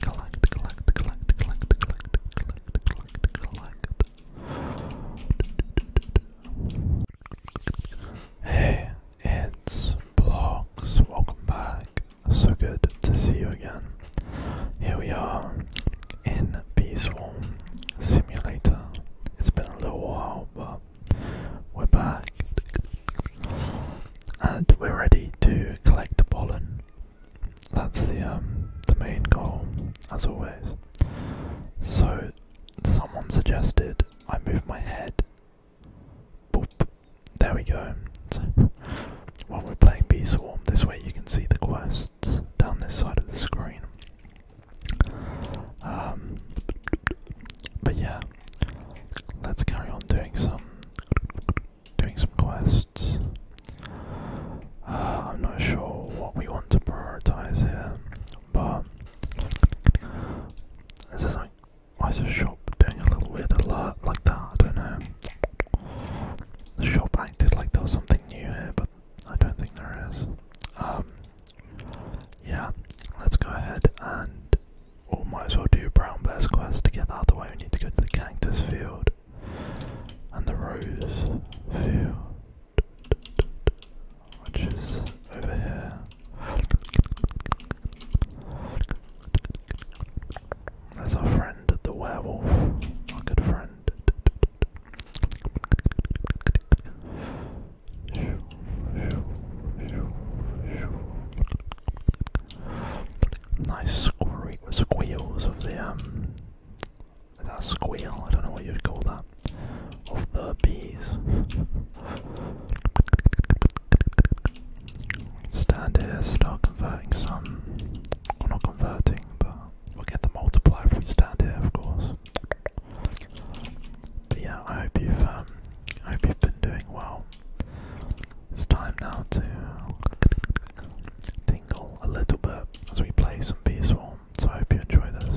collect, Hey, it's Blogs. Welcome back. So good to see you again. Here we are in Peaceful Simulator. It's been a little while, but we're back. And we're ready to collect the pollen that's the um the main goal, as always. So someone suggested I move my head. There we go. while we're playing Bee Swarm, this way you can see the quests down this side of the screen. Um, but yeah, let's carry on doing some doing some quests. Uh, I'm not sure what we want to prioritize here, but this is like why is the shop doing a little weird alert like that? I don't know. The shop acted like there was something new here, but I don't think there is. Um, yeah, let's go ahead and or might as well do brown bear's quest to get out of the way. We need to go to the cactus field and the rose field, which is over here. There's our friend, the werewolf, our good friend. Nice squeals of the um that squeal, I don't know what you'd call that. Of the bees. Stand here, start converting some. Well, not converting, but we'll get the multiplier if we stand here, of course. But yeah, I hope you've um, I hope you've been doing well. It's time now to tingle a little bit as we play some Beast Swarm. So I hope you enjoy this.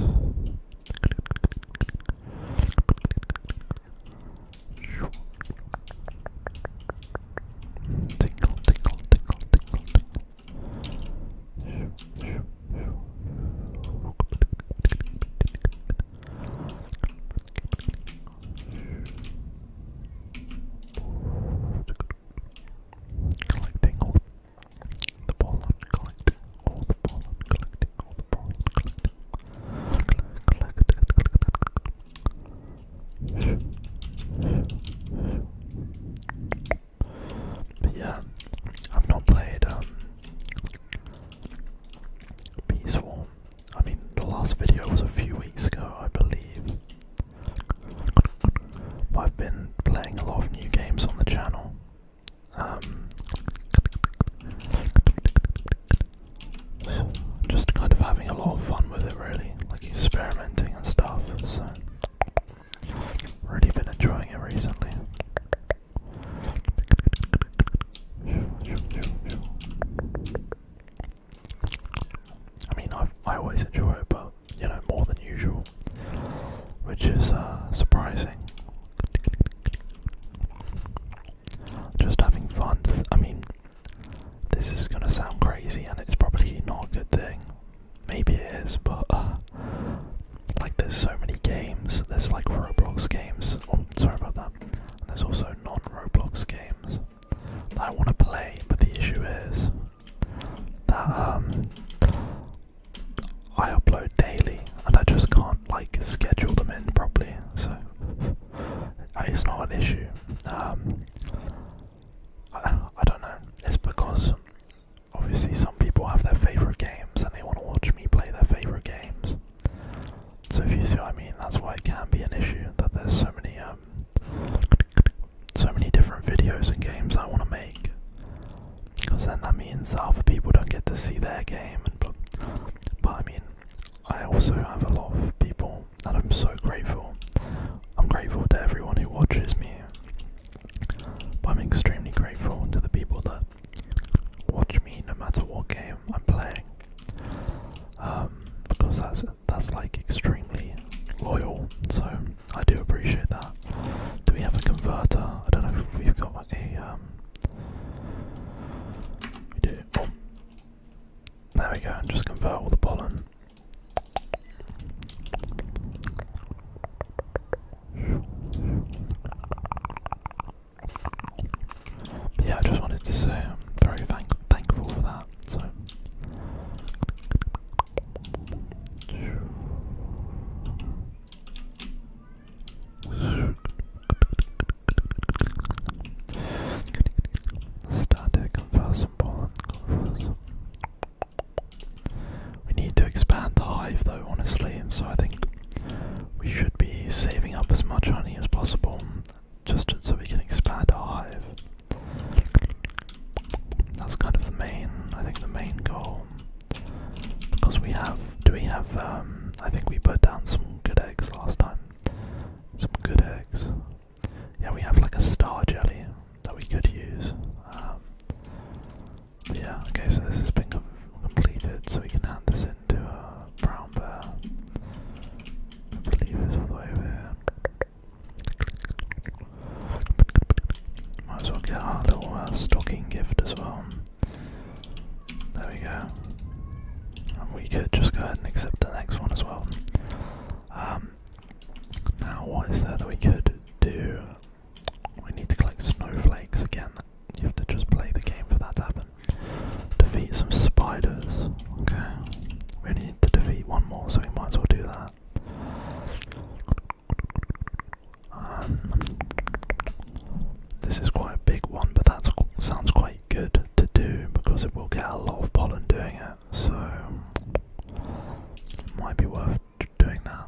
tingle, tingle, tingle, tingle. Collecting all the pollen, collecting all the pollen, collecting all the pollen, collecting. But yeah, I've not played um, I mean, the last video was a few weeks ago, I believe. But I've been playing a lot of new games on the channel. Um, just kind of having a lot of fun with it, really, like experimenting and stuff. So, really been enjoying it recently. I mean, i I always enjoy it, but you know, more than usual, which is uh, surprising. Just having fun. I mean, this is gonna sound crazy, and it's probably not a good thing. Maybe it is, but uh, like, there's so many games. There's like Roblox games. Oh, sorry about that there's also non-Roblox games that I want to play, but the issue is that um, I upload daily, and I just can't like schedule them in properly. So it's not an issue. Um, I don't know. It's because obviously some people have their favorite games, and they want to watch me play their favorite games. So if you see what I mean, that's why it can be an issue that there's so many um, so many different videos and games I want to make. Because then that means that other people don't get to see their game. But I mean, I also have a lot of people that I'm so grateful. I'm grateful to everyone who watches me. But I'm extremely grateful to the people that watch me no matter what game I'm playing. Um, because that's that's like extremely loyal. So I do appreciate that. Do we have a converter? I don't know if we've got a. Um, we do. Oh. There we go. Just convert all the pollen yeah, I just wanted to say I'm very thankful for that. So. Static converse and pollen We need to expand the hive though, honestly, so I think we should be saving up as much honey as possible just so we can expand our hive. That's kind of the main, I think the main goal. Because we have, do we have, um, I think we put down some good eggs last time. Some good eggs. Yeah, we have like a star jelly that we could use. Um, yeah, okay, so this has been completed, so we can hand this in into a brown bear. I believe it's all the way over Might as well get our little uh, stocking gift as well. There we go. And we could just go ahead and accept the next one as well. Um, now, what is there that we could do? We need to collect snowflakes again. You have to just play the game for that to happen. Defeat some spiders. Okay. We need to defeat one more, so we might as well do that. Um, this is quite a big one, but that sounds quite good to do because it will get a lot of pollen doing it, so it might be worth doing that.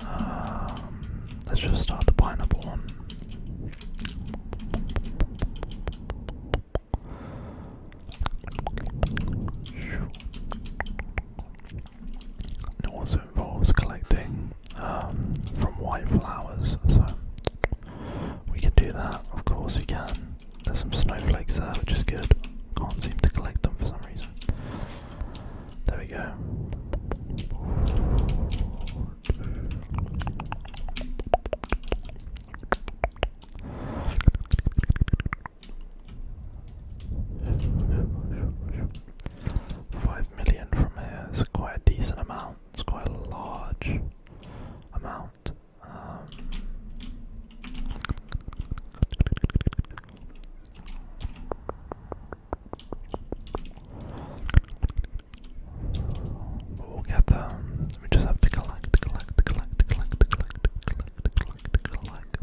um, let's just start the pineapple one. It also involves collecting um, from white flowers, so we can do that. Of course, we can. There's some snowflakes there, which is good. Can't seem to collect them for some reason. There we go. Five million from here is quite a decent amount. It's quite a large amount. Um, we'll get them. We just have to collect, collect, collect, collect, collect, collect, collect, collect.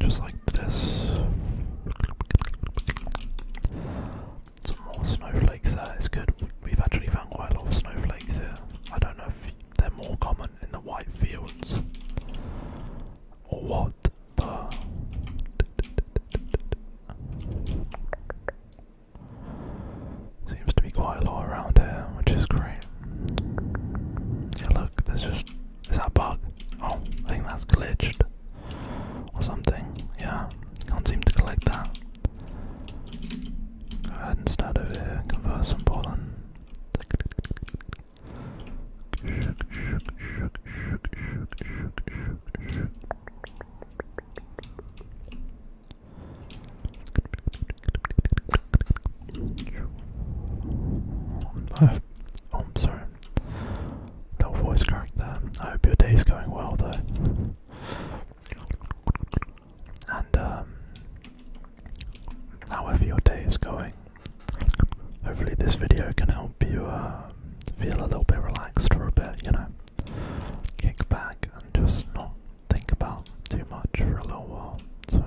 Just like this. Some more snowflakes there. good. We've actually found quite a lot of snowflakes here. I don't know if they're more common in the white fields. Or what Seems to be quite a lot around here, which is great. Yeah, look, there's just. Is that bug? Oh, I think that's glitched. Or something. Yeah, can't seem to collect that. Go ahead and start over here, convert some pollen. Oh, I'm sorry. No voice crack there. I hope your day's going well though. And um however your day is going. Hopefully, this video can help you um, feel a little bit relaxed for a bit, you know. Kick back and just not think about too much for a little while. So.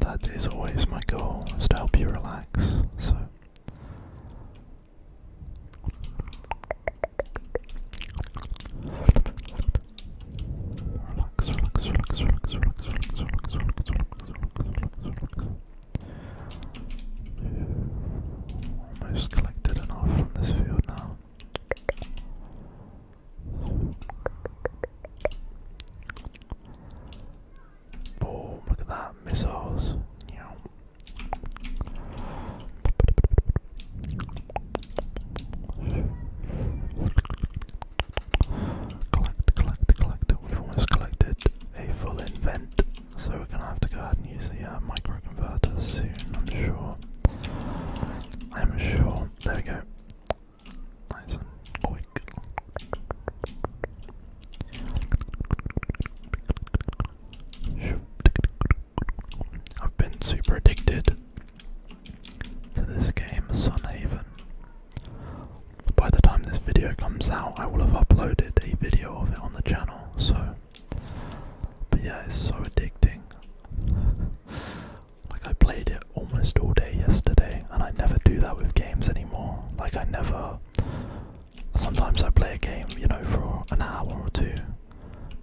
That is always my goal, is to help you relax. So, Relax, relax, relax, relax, relax, relax, relax, relax, relax, relax, relax. Almost collected enough from this field now. Boom, look at that, missiles. Yeah. Collect, collect, collect. We've almost collected a full invent, so we're gonna have to go ahead and use the uh, microconverter soon. I'm sure. I'm sure. There we go. Nice and quick. I've been super addicted to this game, Sunhaven. By the time this video comes out, I will have uploaded a video of it on the channel, so. But yeah, it's so addicting. like, I played it almost all day yesterday, and I never do that with games anymore. Like, I never. Sometimes I play a game, you know, for an hour or two,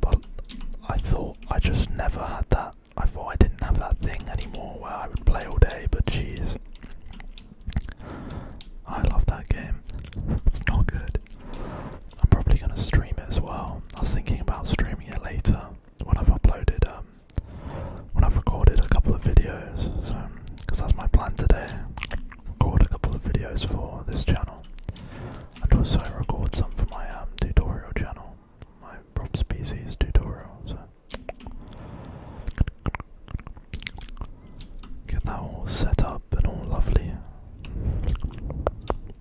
but I thought I just never had that. I thought I didn't have that thing anymore where I would play all day, but jeez. I love that game. It's not good. I'm probably going to stream it as well. I was thinking about streaming it later when I've uploaded, um, when I've recorded a couple of videos. So, because that's my plan today. Record a couple of videos for this channel. And also I record some for my um, tutorial channel, my prop Species tutorial, get that all set up and all lovely.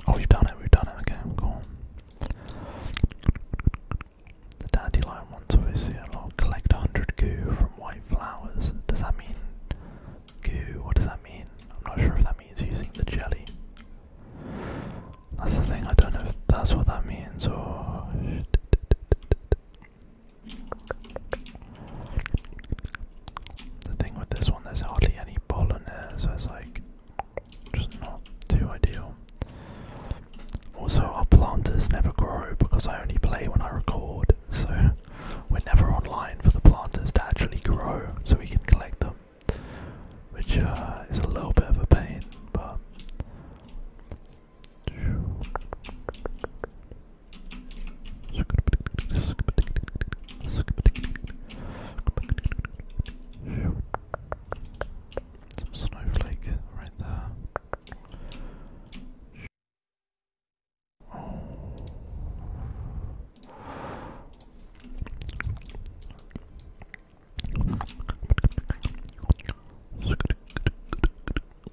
Oh we've done it, we've done it, okay, cool. The dandelion ones obviously a lot. Collect hundred goo from white flowers. Does that mean goo? What does that mean? I'm not sure if that He's using the jelly. That's the thing, I don't know if that's what that means or. The thing with this one, there's hardly any pollen here, so it's like just not too ideal. Also, our planters never grow because I only play when I record, so we're never online for the planters to actually grow so we can collect them, which uh, is a little bit of a pain, but. snowflake right there.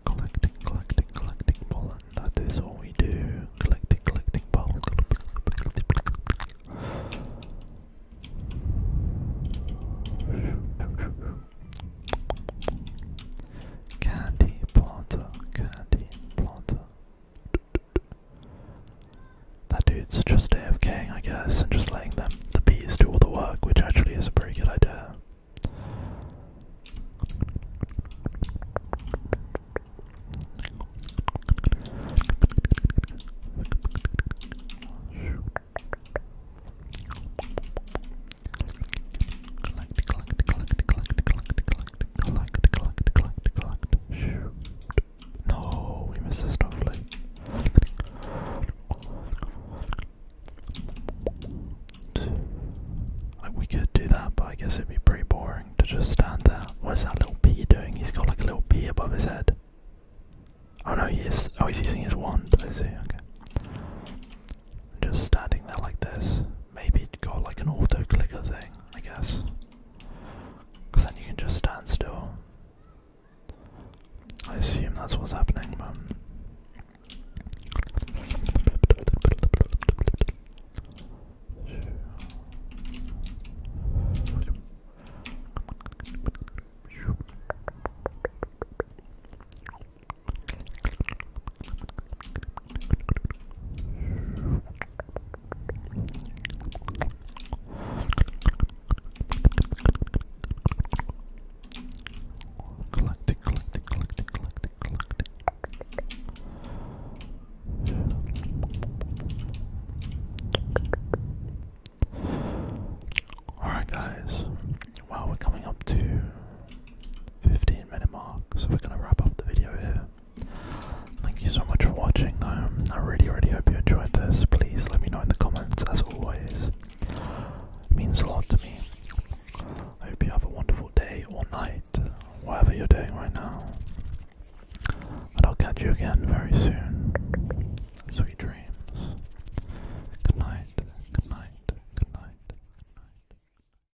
Collecting, collecting, collecting pollen. That is all we do. Collecting, collecting pollen. Candy planter, candy planter. That dude's just AFKing, I guess, and just letting them, the bees, do all the work, which actually is a pretty good idea. No, we missed a snowflake. we could do that, but I guess it'd be pretty boring to just stand there. What's that little bee doing? He's got like a little bee above his head. Oh no, he Oh, he's using his wand. I see. Okay. Just standing there like this. Maybe he's got like an auto clicker thing. I guess. Because then you can just stand still. I assume that's what's happening, but. Alright, guys. Well, we're coming up to 15 minute mark, so we're going to wrap up the video here. Thank you so much for watching. I really, really hope you enjoyed this. Please let me know in the comments, as always. It means a lot to me. I hope you have a wonderful day or night, whatever you're doing right now. And I'll catch you again very soon. Sweet dreams. Good night. Good night. Good night. Good night.